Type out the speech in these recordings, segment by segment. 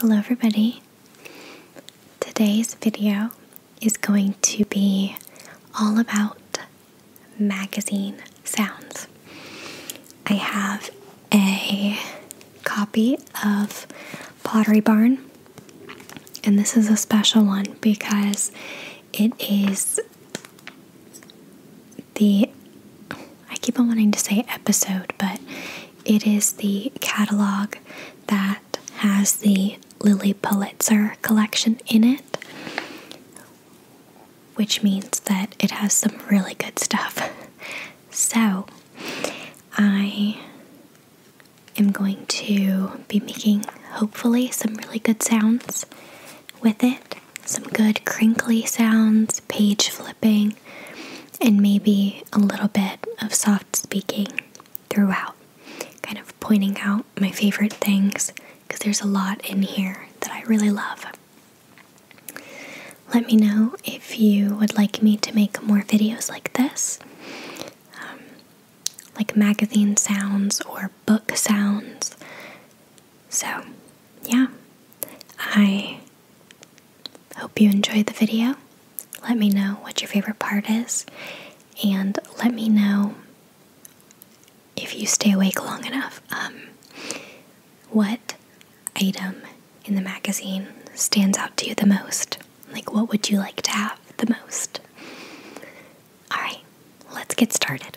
Hello everybody. Today's video is going to be all about magazine sounds. I have a copy of Pottery Barn and this is a special one because it is the I keep on wanting to say episode, but it is the catalog that has the Lily Pulitzer collection in it, which means that it has some really good stuff. So, I am going to be making hopefully some really good sounds with it, some good crinkly sounds page flipping, and maybe a little bit of soft speaking throughout, kind of pointing out my favorite things because there's a lot in here that I really love. Let me know if you would like me to make more videos like this, um, like magazine sounds or book sounds. So, yeah, I Hope you enjoyed the video. Let me know what your favorite part is, and let me know if you stay awake long enough um, what item in the magazine stands out to you the most. Like, what would you like to have the most? All right, let's get started.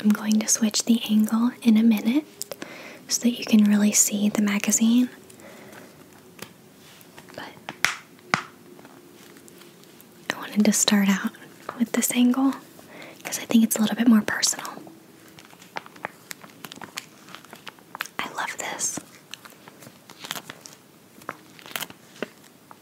I'm going to switch the angle in a minute so that you can really see the magazine. But I wanted to start out with this angle because I think it's a little bit more personal. I love this.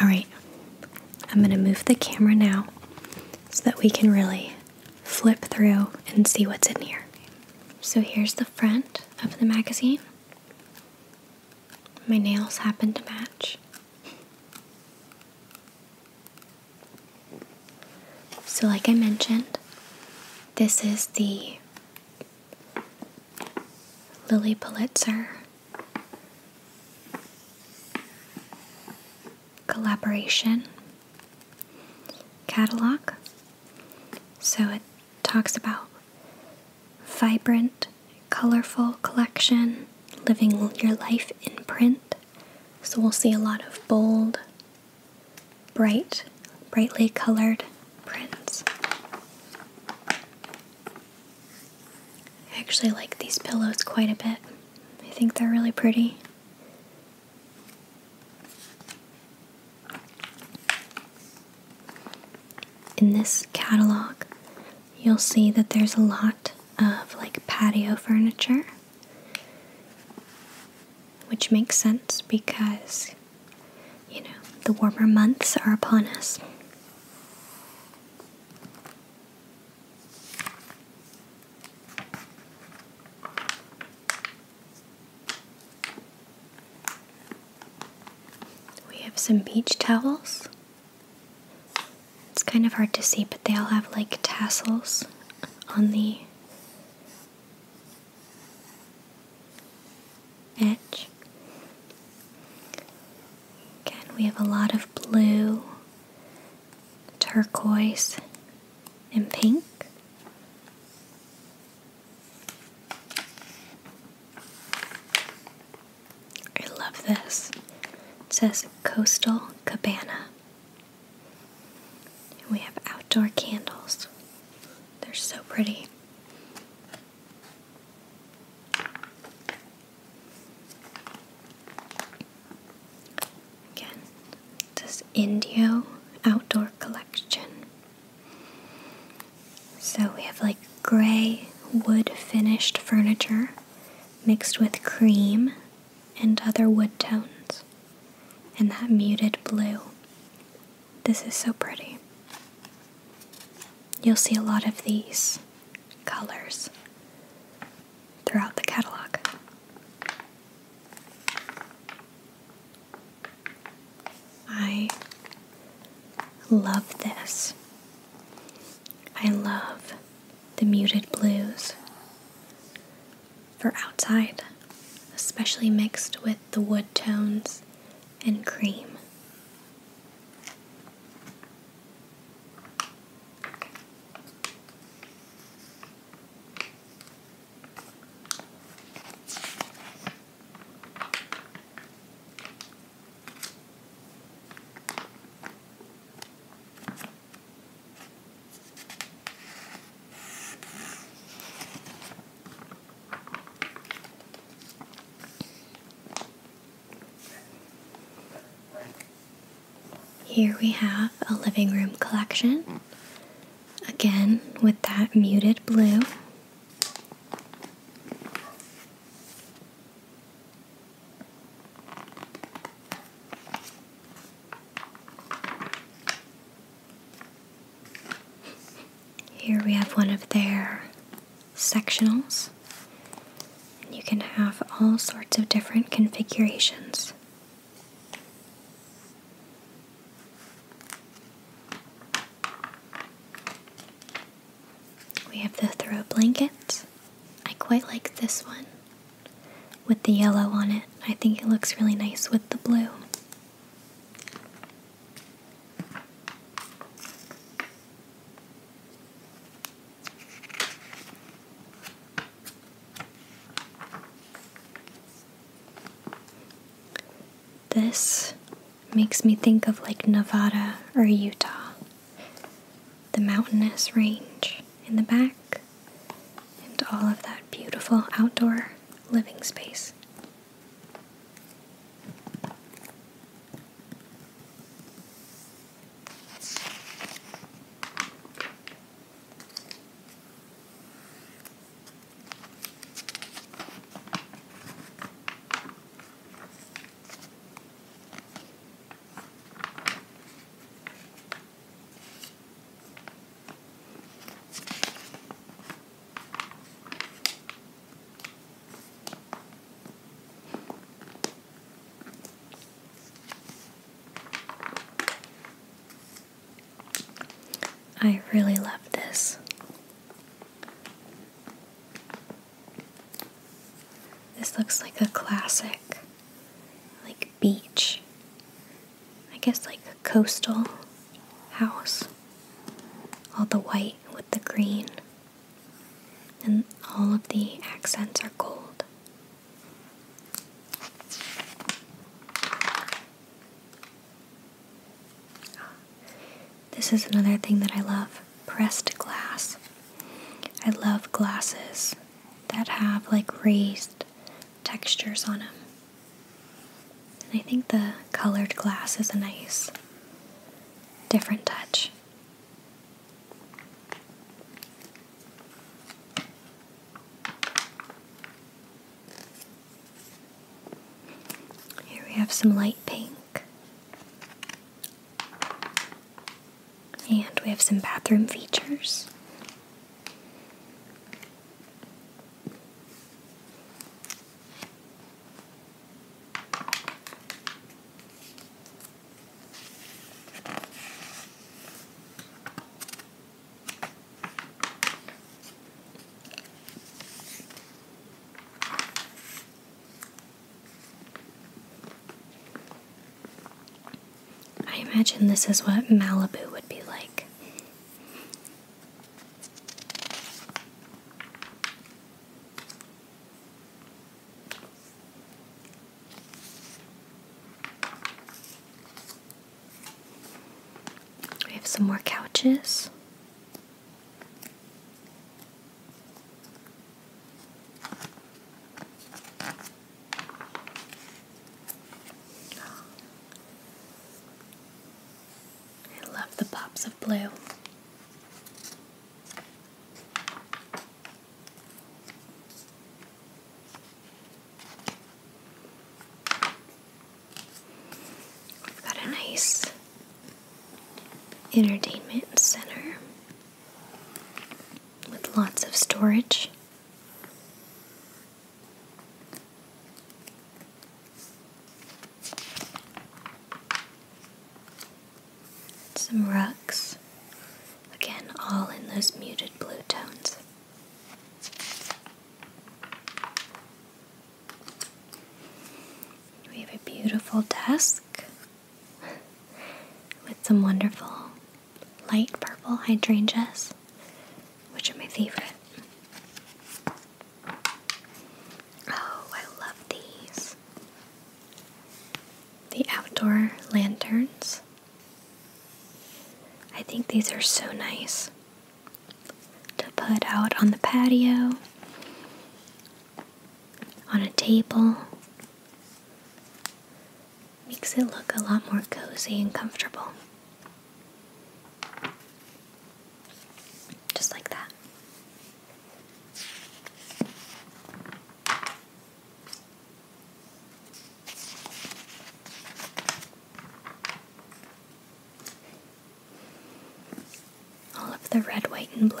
Alright, I'm going to move the camera now so that we can really flip through and see what's in here. So here's the front of the magazine. My nails happen to match. So, like I mentioned, this is the Lily Pulitzer. Collaboration. Catalog. So it talks about vibrant, colorful collection, living your life in print. So we'll see a lot of bold, bright, brightly colored prints. I actually like these pillows quite a bit. I think they're really pretty. In this catalog, you'll see that there's a lot of like patio furniture, which makes sense because you know, the warmer months are upon us. We have some beach towels. It's kind of hard to see, but they all have like tassels on the edge. Again, we have a lot of blue, turquoise, and pink. I love this. It says Coastal Cabana. And we have outdoor candles. They're so pretty. Again, this Indio Outdoor Collection. So we have like gray wood finished furniture mixed with cream and other wood tones, and that muted blue. This is so pretty. You'll see a lot of these colors throughout the catalog. I love this. I love the muted blues for outside, especially mixed with the wood tones and cream. Here we have a living room collection, again with that muted blue. Here we have one of their sectionals. You can have all sorts of different configurations. We have the throw blanket. I quite like this one with the yellow on it. I think it looks really nice with the blue. This makes me think of like Nevada or Utah, the mountainous range in the back, and all of that beautiful outdoor living space. I really love this. This looks like a classic, like beach I guess like a coastal house. All the white with the green. And all of the accents are gold. This is another thing that I love pressed glass. I love glasses that have like raised textures on them. And I think the colored glass is a nice different touch. Here we have some light pink. And we have some bathroom features. I imagine this is what Malibu would be like we have some more couches. I love the pops of blue. We've got a nice entertainment center with lots of storage. Some rocks, again, all in those muted blue tones. We have a beautiful desk with some wonderful light purple hydrangeas, which are my favorite. Oh, I love these. The outdoor lanterns. I think these are so nice to put out on the patio, on a table. Makes it look a lot more cozy and comfortable. Just like that. All of the red, white, and blue.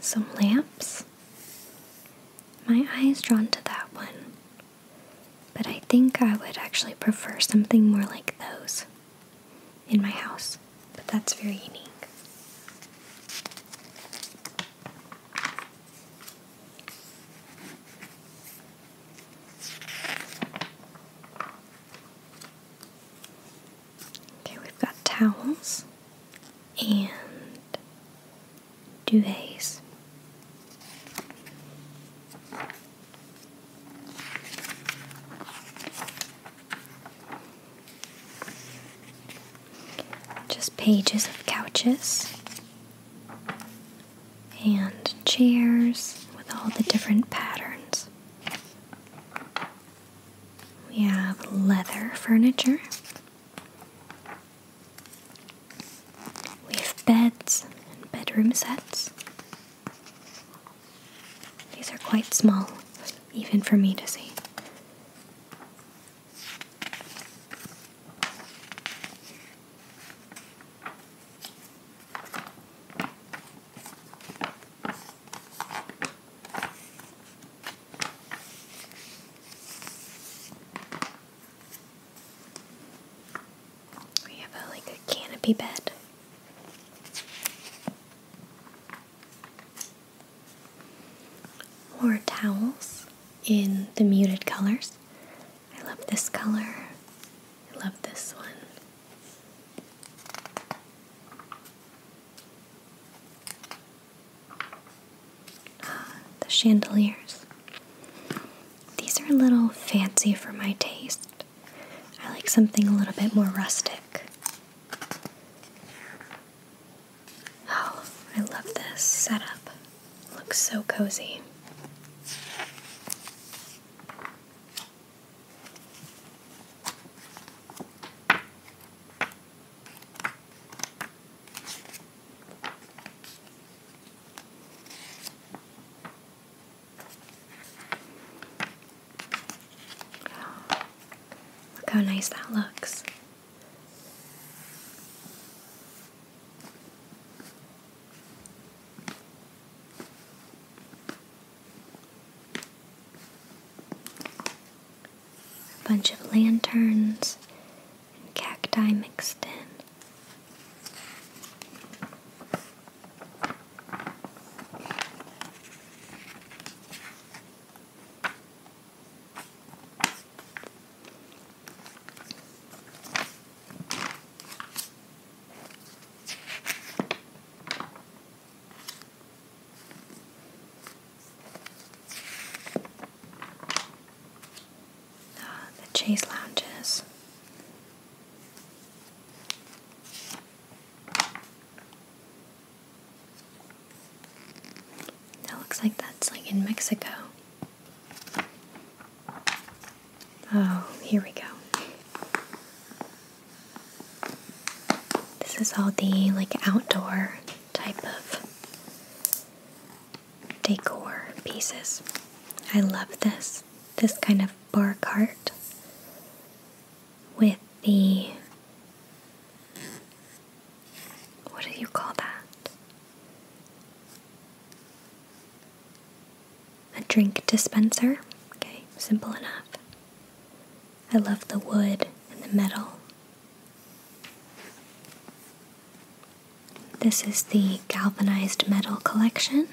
Some lamps. My eye is drawn to that one, but I think I would actually prefer something more like those in my house, but that's very unique. Okay, we've got towels and duvets. Just pages of couches and chairs with all the different patterns. We have leather furniture. We have beds and bedroom sets. These are quite small, even for me to see. We have like a canopy bed. More towels in the muted colors. I love this color. I love this one. Uh, the chandeliers. These are a little fancy for my taste. I like something a little bit more rustic. Oh, I love this setup. looks so cozy. Look how nice that looks. A bunch of lanterns and cacti mixed in the Chase lounges. That looks like that's like in Mexico. Oh, here we go. This is all the like outdoor type of decor pieces. I love this. This kind of bar cart with the what do you call that? a drink dispenser. Okay, simple enough. I love the wood and the metal. This is the galvanized metal collection.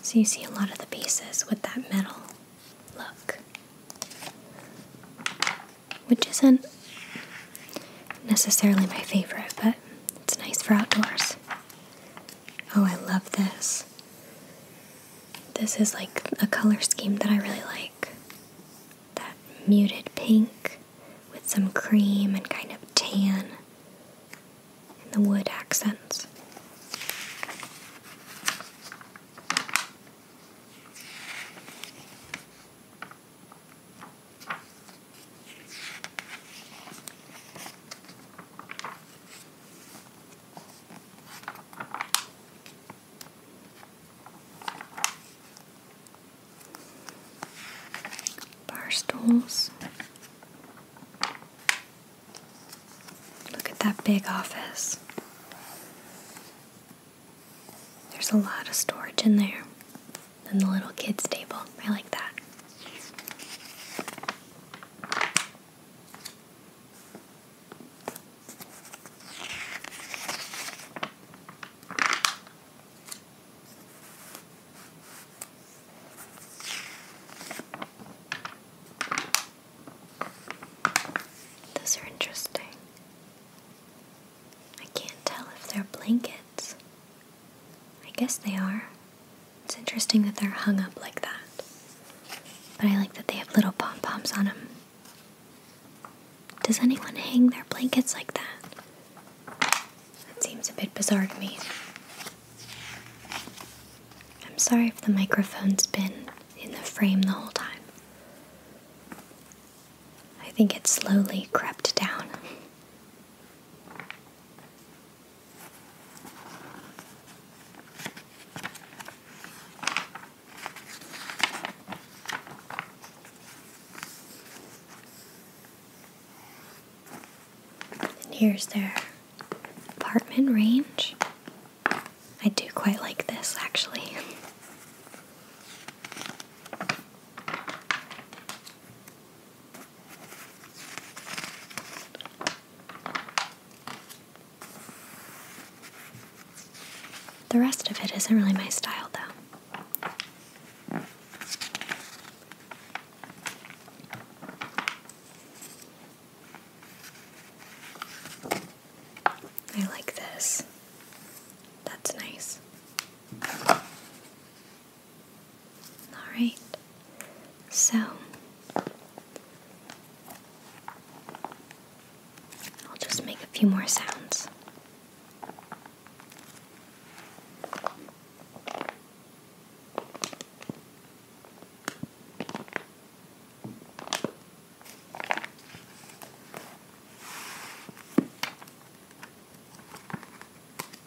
So you see a lot of the pieces with that metal look, which isn't necessarily my favorite, but it's nice for outdoors. Oh, I love this. This is like a color scheme that I really like. That muted pink with some cream and kind of tan and the wood accents. Bar stools. Look at that big office. There's a lot of storage in there. And the little kids' table. I like that. Those are interesting. I can't tell if they're blankets I guess they are. It's interesting that they're hung up like that. But I like that they have little pom poms on them. Does anyone hang their blankets like that? That seems a bit bizarre to me. I'm sorry if the microphone's been in the frame the whole time. I think it slowly crept down. And here's their apartment range. I do quite like this actually. The rest of it isn't really my style, though. I like this. That's nice. Alright, so I'll just make a few more sounds.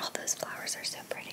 All those flowers are so pretty.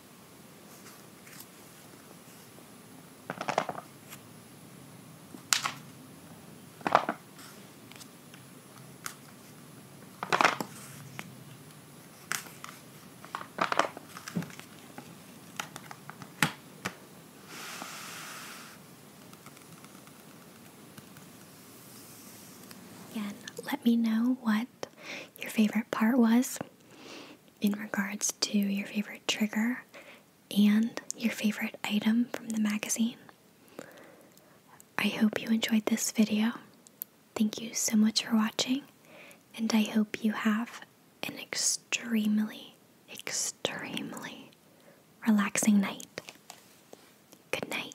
Again, let me know what your favorite part was in regards to your favorite trigger and your favorite item from the magazine. I hope you enjoyed this video. Thank you so much for watching, and I hope you have an extremely, extremely relaxing night. Good night.